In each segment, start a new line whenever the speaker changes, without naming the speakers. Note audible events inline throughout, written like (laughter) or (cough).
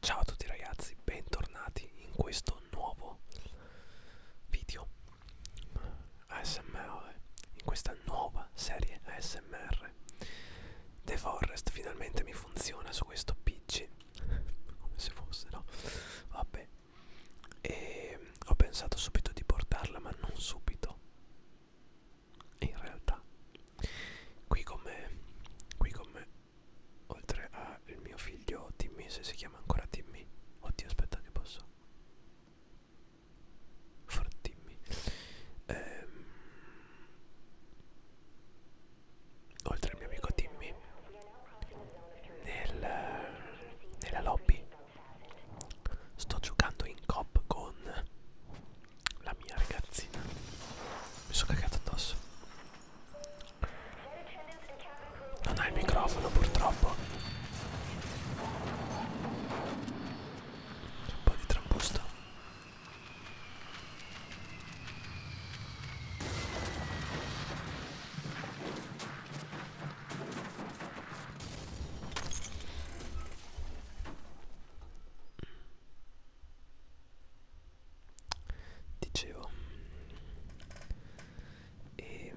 Ciao a tutti ragazzi, bentornati in questo nuovo video ASMR, in questa nuova serie ASMR. The Forest finalmente mi funziona su questo PC, come se fosse, no? Vabbè. E ho pensato subito di portarla, ma non subito in realtà qui con me qui con me oltre al mio figlio Timmy se si chiama ancora Timmy oddio aspetta che posso for Timmy ehm, oltre al mio amico Timmy nel, nella lobby sto giocando in cop con la mia ragazzina mi sono cagato addosso non ha il microfono purtroppo un po' di trambusto dicevo e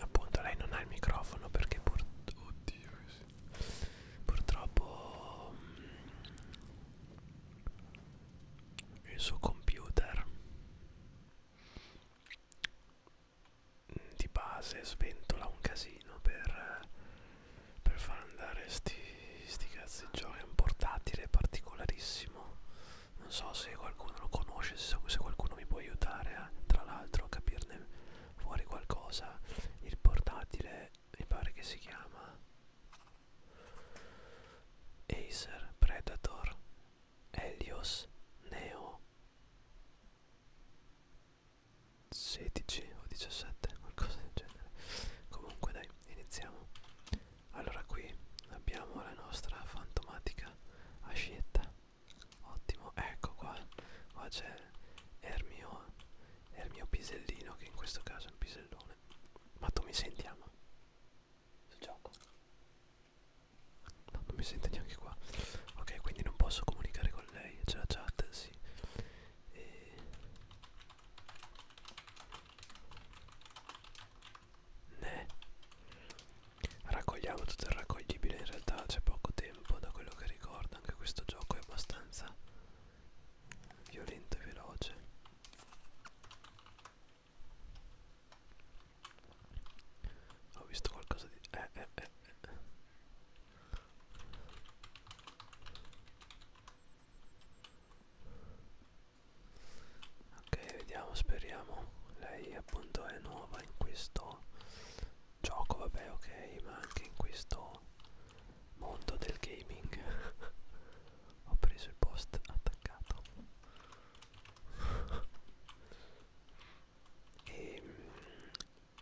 appunto lei non ha il microfono perché pur oddio, sì. purtroppo mm, il suo computer mm, di base sventola un casino per per far andare sti, sti cazzi di giochi. È un portatile particolarissimo. Non so se qualcuno lo conosce, se, se qualcuno mi può aiutare a, tra l'altro a capirne fuori qualcosa. Il portatile mi pare che si chiama Acer Predator Helios Neo 16 o 17 qualcosa del genere comunque dai iniziamo allora qui abbiamo la nostra fantomatica ascietta ottimo ecco qua qua c'è Ermio Ermio Pisellino che in questo caso è un pisellone ma tu mi senti ama? sul gioco? no non mi sente neanche qua ok quindi non posso comunicare con lei c'è la chat sì e eh. ne raccogliamo tutto il raccoglibile in realtà c'è poco tempo da quello che ricordo anche questo gioco è abbastanza violento e veloce ho visto qualcosa di eh eh eh, eh ok vediamo speriamo lei appunto è nuova in questo gioco vabbè ok ma anche in questo mondo del gaming (laughs) ho preso il post attaccato e ehm,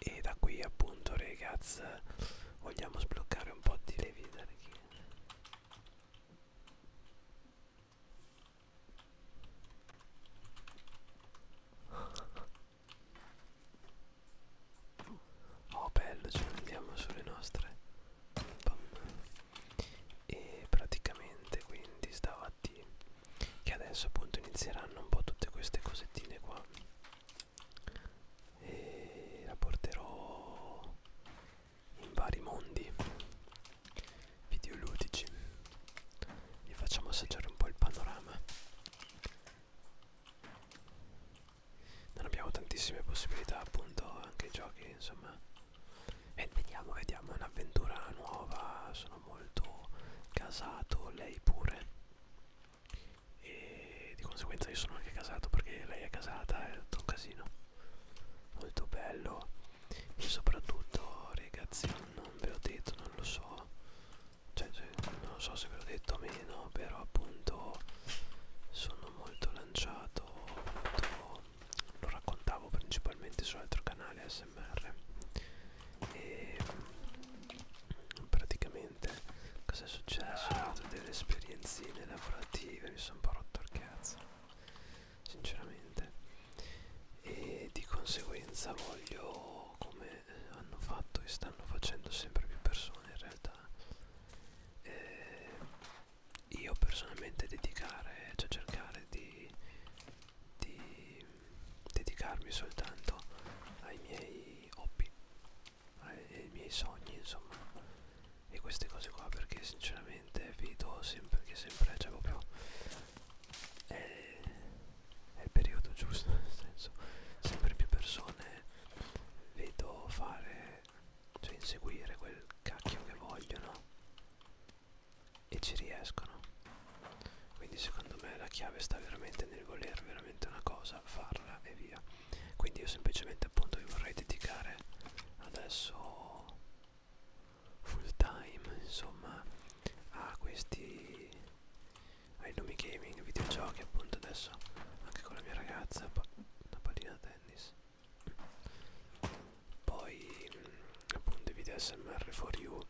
e da qui appunto ragazzi vogliamo sbloccare un po' di le vite oh bello ce ne andiamo sulle nostre Bam. e praticamente quindi stamattina che adesso appunto inizieranno un po' tutte queste cosettine qua e la porterò in vari mondi videoludici vi facciamo assaggiare un po' il panorama non abbiamo tantissime possibilità appunto anche giochi insomma e vediamo vediamo è un'avventura nuova sono molto casato lei pure e di conseguenza io sono anche casato perché lei è casata è tutto un casino molto bello e soprattutto ragazzi non ve l'ho detto non lo so cioè, cioè non so se ve l'ho detto o meno però appunto sono molto lanciato molto, lo raccontavo principalmente sull'altro canale ASMR ASMR e mm, praticamente cosa è successo? Ho avuto delle esperienzine lavorative, mi sono un po' rotto il cazzo sinceramente e di conseguenza voglio come hanno fatto e stanno facendo sempre più persone in realtà eh, io personalmente dedicare cioè cercare di, di dedicarmi soltanto ai miei hobby ai, ai miei sogni insomma e queste cose qua perché sinceramente vedo sempre che sempre c'è cioè proprio è, è il periodo giusto (laughs) nel senso sempre più persone vedo fare cioè inseguire quel cacchio che vogliono e ci riescono quindi secondo me la chiave sta veramente nel voler veramente una cosa farla e via quindi io semplicemente appunto vi vorrei dedicare adesso full time insomma a questi ai nomi gaming videogiochi appunto adesso anche con la mia ragazza una pallina da tennis poi appunto i video smr for you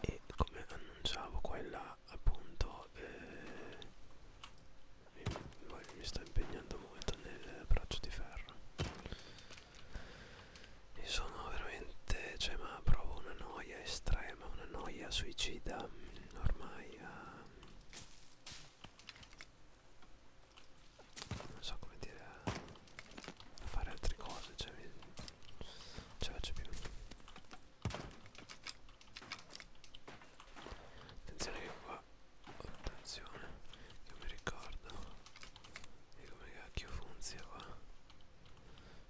e come annunciavo qua e là appunto eh, mi, mi sto impegnando molto nel braccio di ferro e sono veramente cioè ma provo una noia estrema una noia suicida mm, ormai a, ah, non so come dire a, ah, a fare altre cose cioè mi... ce la faccio più attenzione che qua attenzione che mi ricordo e come cacchio funziona qua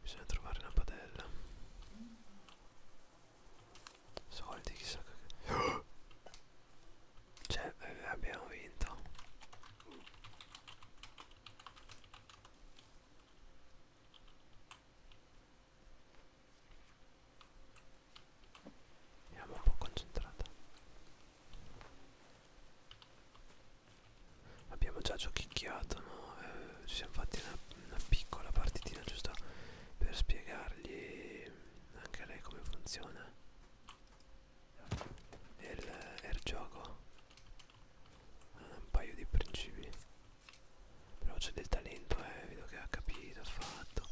bisogna trovare una padella soldi chissà che oh! (gasps) cioè eh, abbiamo vinto Andiamo un po' concentrata. Abbiamo già giochicchiato, no? Eh, ci siamo fatti una, una piccola partitina giusto per spiegargli anche a lei come funziona è il, è il gioco ha un paio di principi però c'è del talento eh vedo che ha capito ha fatto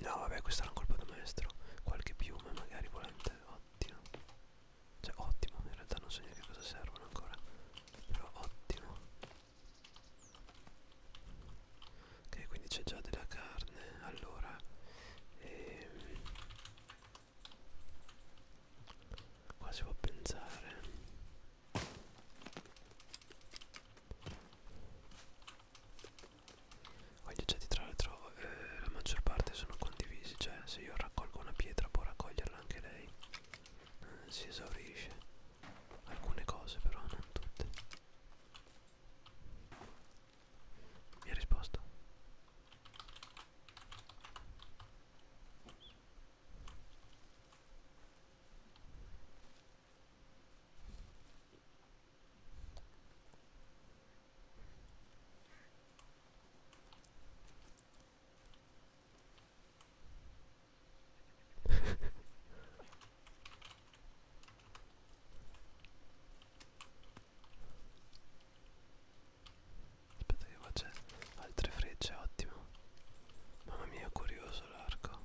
no vabbè questo era un colpo da maestro qualche piuma magari volante ottimo cioè ottimo in realtà non so neanche a cosa servono ancora però ottimo ok quindi c'è già della carne allora ehm, Qua si può pensare Qua gli oggetti tra l'altro eh, la maggior parte sono condivisi Cioè se io raccolgo una pietra può raccoglierla anche lei eh, Si esaurisce Alcune cose però non tutte mi ha risposto. (laughs) Aspetta che qua c'è altre frecce, ottimo. Mamma mia, curioso l'arco.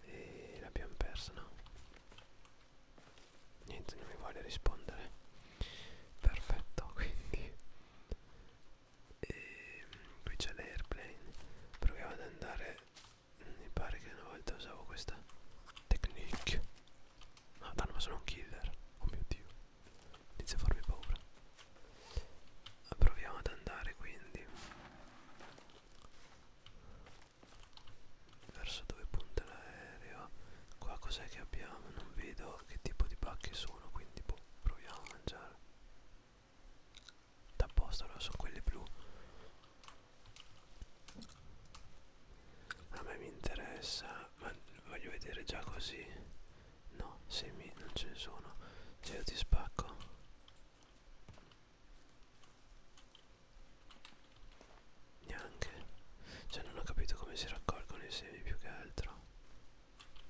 E l'abbiamo perso, no? Niente, non mi vuole rispondere. Perfetto, (laughs) quindi. E qui c'è l'airplane. Proviamo ad andare. Mi pare che una volta usavo questa technique Ah, danno, ma sono un killer. Oh mio dio. Inizia a farmi paura. Proviamo ad andare quindi. Verso dove punta l'aereo. Qua cos'è che abbiamo? Non vedo che tipo di pacche sono, quindi boh, proviamo a mangiare. D'apposta, allora sono quelli blu. A me mi interessa, ma voglio vedere già così. No, semi non ce ne sono. Se cioè, io ti spacco. Neanche. Cioè non ho capito come si raccolgono i semi più che altro.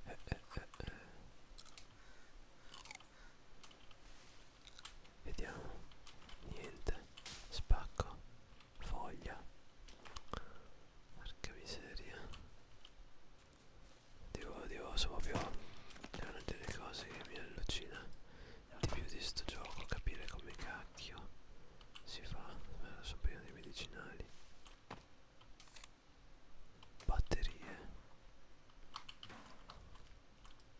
Eh, eh, eh, eh. Vediamo. Niente. Spacco foglia porca miseria devo, devo so proprio è una delle cose che mi allucina di più di sto gioco capire come cacchio si fa allora, sono pieno di medicinali batterie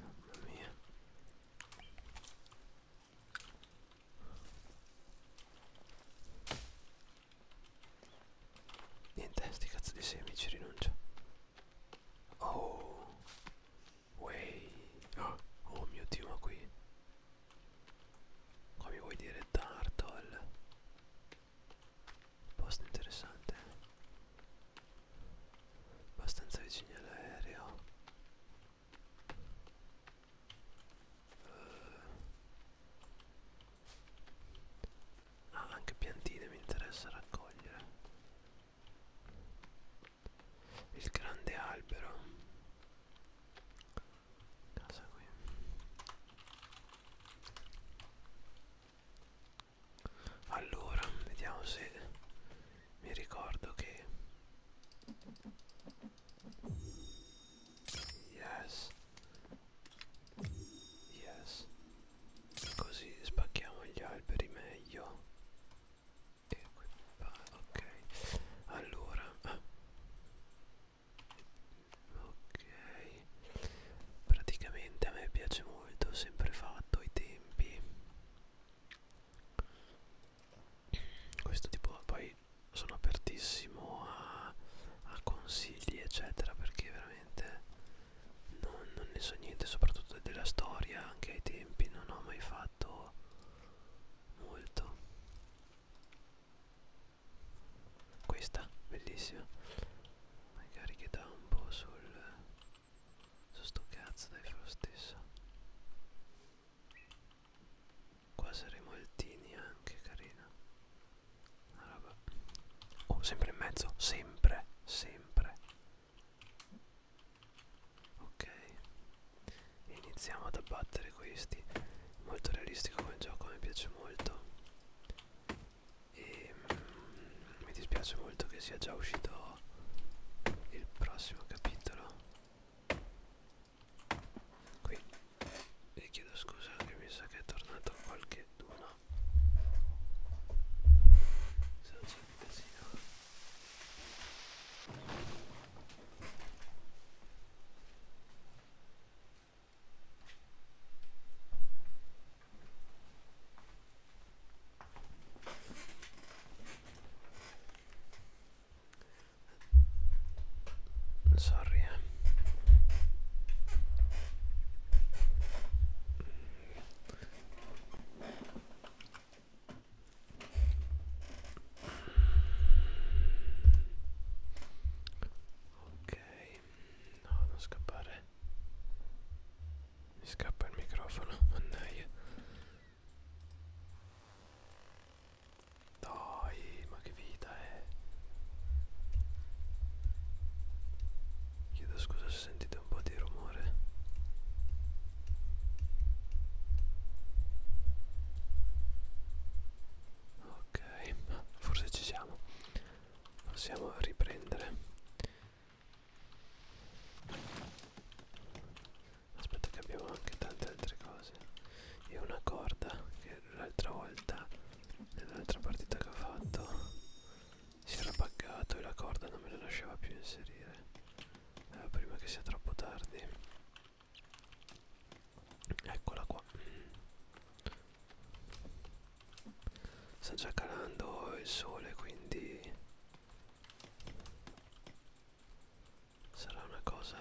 Mamma mia. Niente, sti cazzo di semi ci rinuncio. Oh. Way. Oh, (gasps) oh mio dio, ma qui. Qua mi vuoi dire Turtle? posto interessante abbastanza vicini all'aereo uh. ah anche piantine mi interessa raccogliere il grande albero casa qui allora, vediamo se mi ricordo che... Yes. Yes. Così spacchiamo gli alberi meglio. E qui va, ok. Allora... Ah. Ok praticamente a me piace molto ho sempre fatto i tempi questo tipo poi sono apertissimo a, a consigli eccetera perché veramente non, non ne so niente soprattutto della storia anche ai tempi non ho mai fatto molto questa bellissima magari che dà un po' sul su sto cazzo dai lo stesso qua saremo altini anche carina una roba oh sempre in mezzo sempre sempre ok iniziamo ad abbattere questi molto realistico come gioco mi piace molto e mm, mi dispiace molto che sia già uscito il prossimo capitolo qui e chiedo scusa che mi sa che è tornato qualche d'uno se non c'è di casino Sorry eh. Ok, no, non scappare vabbè mi scappa il microfono mannaia dai ma che vita è chiedo scusa se sentite un po' di rumore ok forse ci siamo possiamo riprendere aspetta che abbiamo anche tante altre cose e una corda che l'altra volta nell'altra partita che ho fatto si era buggato e la corda non me la lasciava più inserire eh, prima che sia troppo tardi eccola qua sta già calando il sole quindi sarà una cosa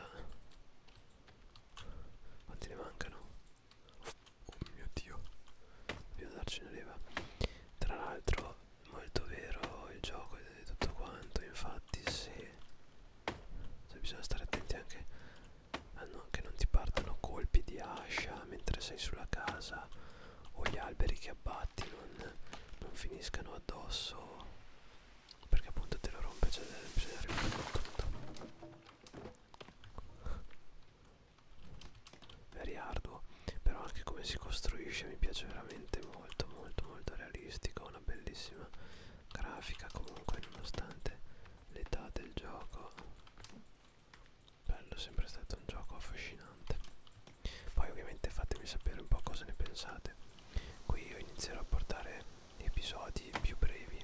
quanti ne mancano oh mio dio dobbiamo darci una leva tra l'altro molto vero il gioco e tutto quanto infatti se, se bisogna stare attenti anche Ah, che non ti partano colpi di ascia mentre sei sulla casa o gli alberi che abbatti non, non finiscano addosso perché appunto te lo rompe cioè bisogna rimuovere tutto very arduo però anche come si costruisce mi piace veramente molto molto molto realistico una bellissima grafica comunque nonostante l'età del gioco bello, è sempre stato un gioco affascinante. Poi ovviamente fatemi sapere un po' cosa ne pensate. Qui io inizierò a portare episodi più brevi.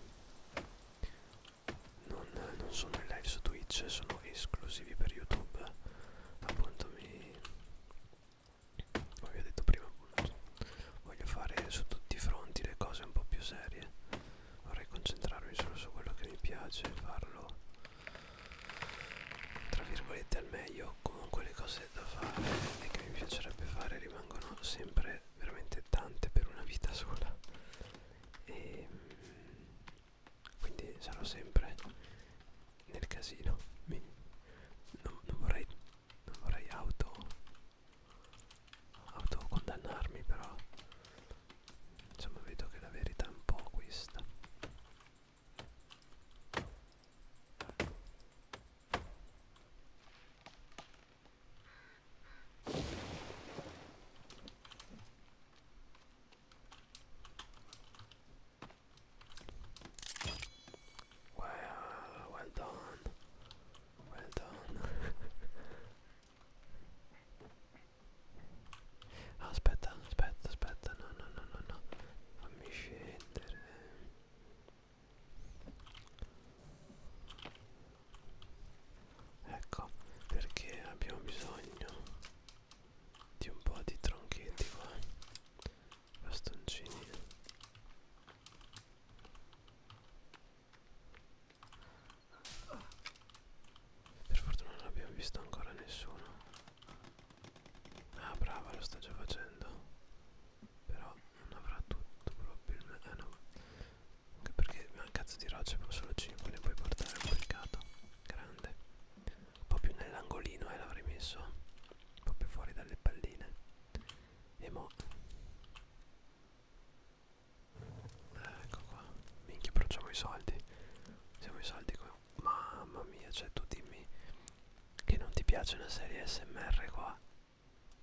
Non, non sono in live su Twitch, sono esclusivi per YouTube. Appunto mi... Come vi ho detto prima, voglio fare su tutti i fronti le cose un po' più serie vorrei concentrarmi solo su quello che mi piace farlo tra virgolette al meglio comunque le cose da fare e che mi piacerebbe fare rimangono sempre veramente tante per una vita sola e quindi sarò sempre nel casino mi, non, non vorrei non vorrei auto autocondannarmi ah, però insomma vedo che la verità è un po' questa Wow, well done, well done. (laughs) Ah, aspetta, aspetta, aspetta, no, no, no, no, no. Fammi scendere. Ecco, perché abbiamo bisogno di un po' di tronchetti qua. Bastoncini. Per fortuna non abbiamo visto ancora nessuno. Ah brava, lo sta già facendo. Però non avrà tutto probabilmente. Eh no. Anche perché ma cazzo di rocce ma solo 5 ne puoi portare un mercato. Grande. Un po' più nell'angolino eh l'avrei messo. Un po' più fuori dalle palline. E mo'. Ecco qua, minchia però i soldi, siamo i soldi qua, mamma mia, cioè tu dimmi che non ti piace una serie SMR qua,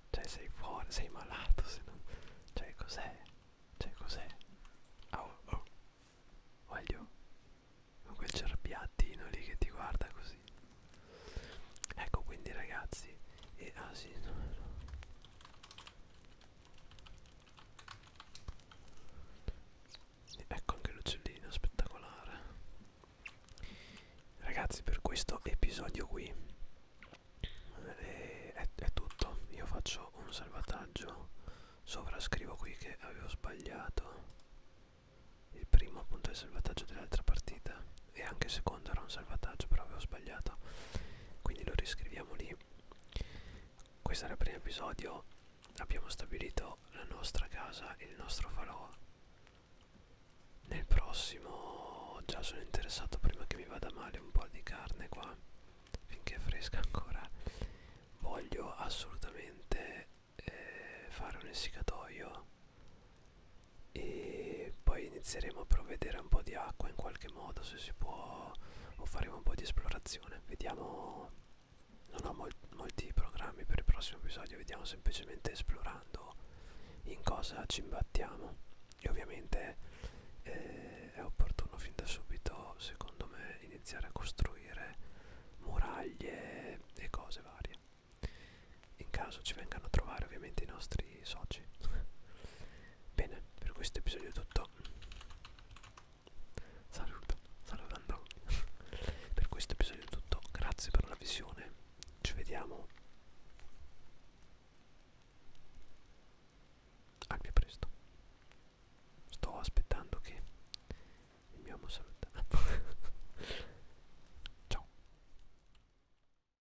cioè sei fuori, sei malato, se no, cioè cos'è, cioè cos'è, oh, oh, voglio, con quel cerbiattino lì che ti guarda così, ecco quindi ragazzi, e ah sì, no, no. E ecco anche l'uccellino spettacolare. Ragazzi, per questo episodio qui è, eh, è, è tutto. Io faccio un salvataggio, sovrascrivo qui che avevo sbagliato il primo appunto è il salvataggio dell'altra partita e anche il secondo era un salvataggio però avevo sbagliato quindi lo riscriviamo lì questo era il primo episodio abbiamo stabilito la nostra casa e il nostro falò nel prossimo già sono interessato prima che mi vada male un po' di carne qua finché è fresca ancora voglio assolutamente eh, fare un essiccatoio e poi inizieremo a provvedere un po' di acqua in qualche modo se si può o faremo un po' di esplorazione vediamo non ho mol molti programmi per il prossimo episodio vediamo semplicemente esplorando in cosa ci imbattiamo e ovviamente eh, è opportuno fin da subito secondo me iniziare a costruire muraglie e cose varie in caso ci vengano a trovare ovviamente i nostri soci Bene, per questo episodio è tutto. Saluto, salutando. (laughs) per questo episodio è tutto. Grazie per la visione. Ci vediamo. Al più presto. Sto aspettando che il mio amo saluta. (laughs) Ciao.